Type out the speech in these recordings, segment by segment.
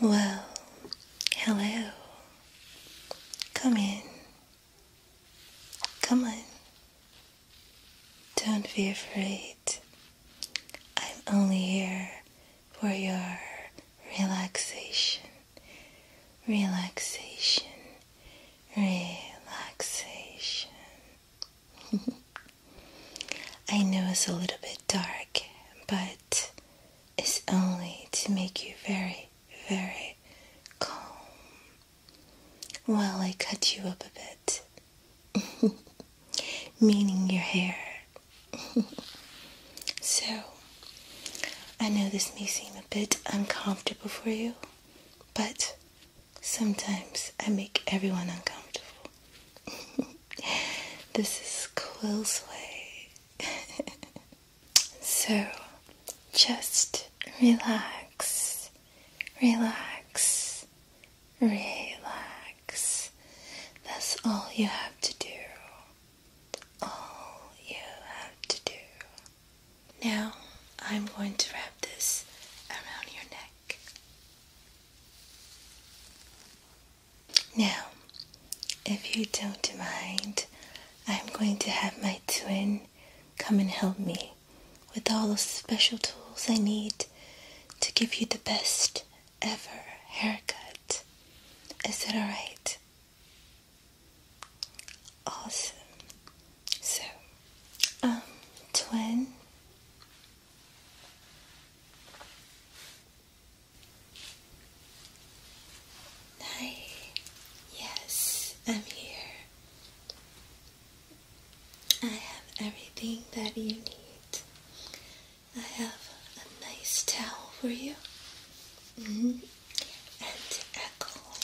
Well, hello. Come in. Come on. Don't be afraid. I'm only here for your relaxation. Relaxation. Relaxation. I know it's a little bit dark, but it's only to make you very, very calm while I cut you up a bit, meaning your hair. so, I know this may seem a bit uncomfortable for you, but sometimes I make everyone uncomfortable. this is Quill's way. so just relax, relax, relax. That's all you have to do. All you have to do. Now I'm going to wrap this around your neck. Now, if you don't mind, I'm going to have my twin come and help me with all the special tools I need to give you the best ever haircut. Is it alright? Awesome. So, um, twin, Hi, yes, I'm here. I have everything that you need. I have a nice towel for you. -hmm. And alcohol.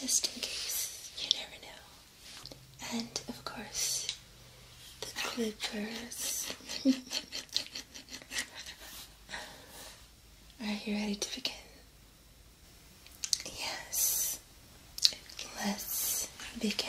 Just in case, you never know and of course the clippers. Are you ready to begin? Yes, let's begin.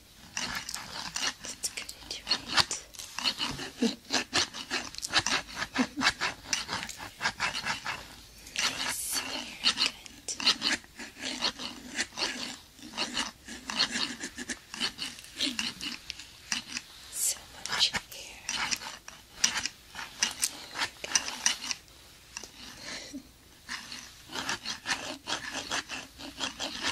That's good, very good. So much here.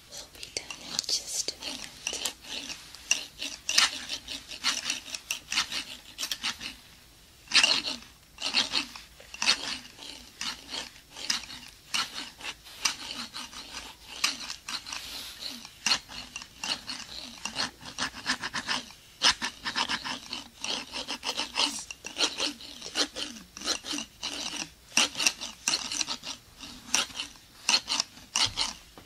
will be done in just a minute. Now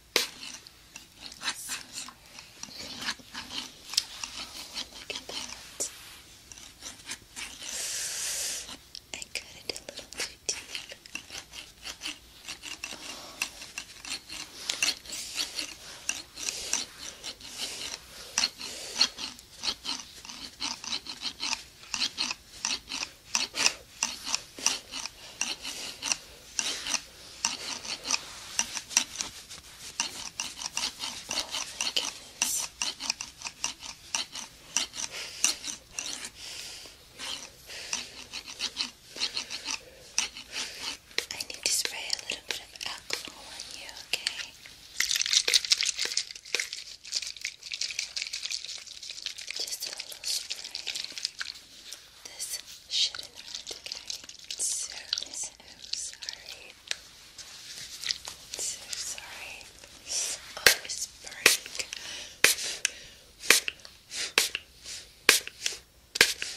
Look at that. I cut it a little too deep. Oh. I need to spray a little bit of alcohol on you, okay? Just a little spray this shit in it, okay? So, sorry. So sorry. Oh, it's burning. I'm going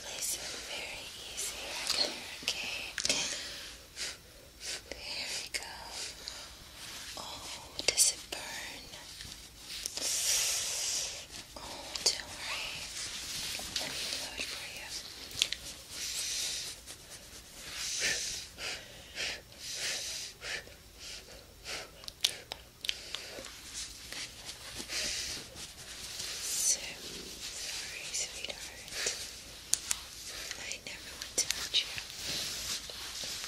place it very easy right here, okay? There we go. Oh, does it burn? Oh, don't worry. Let me blow it So sorry, sweetheart. I never want to hurt you.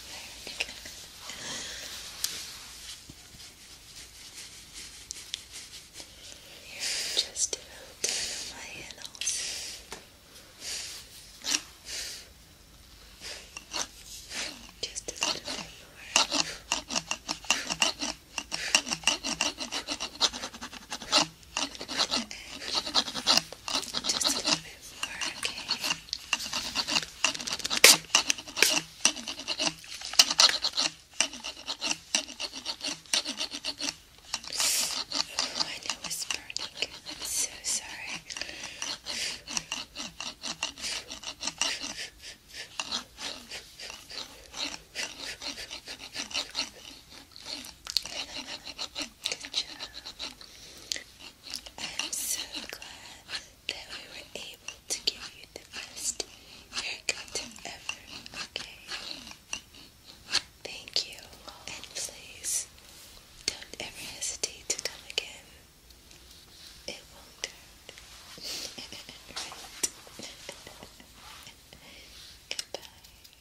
There, here, I'm just a little done on my head also. Just a little bit more. Just a little bit bit more, okay? Oh, my nose is burning. I'm so sorry. Good job. I'm so glad that we were able to give you the best haircut ever, okay? Thank you, and please don't ever hesitate to come again. It won't hurt. right? Goodbye.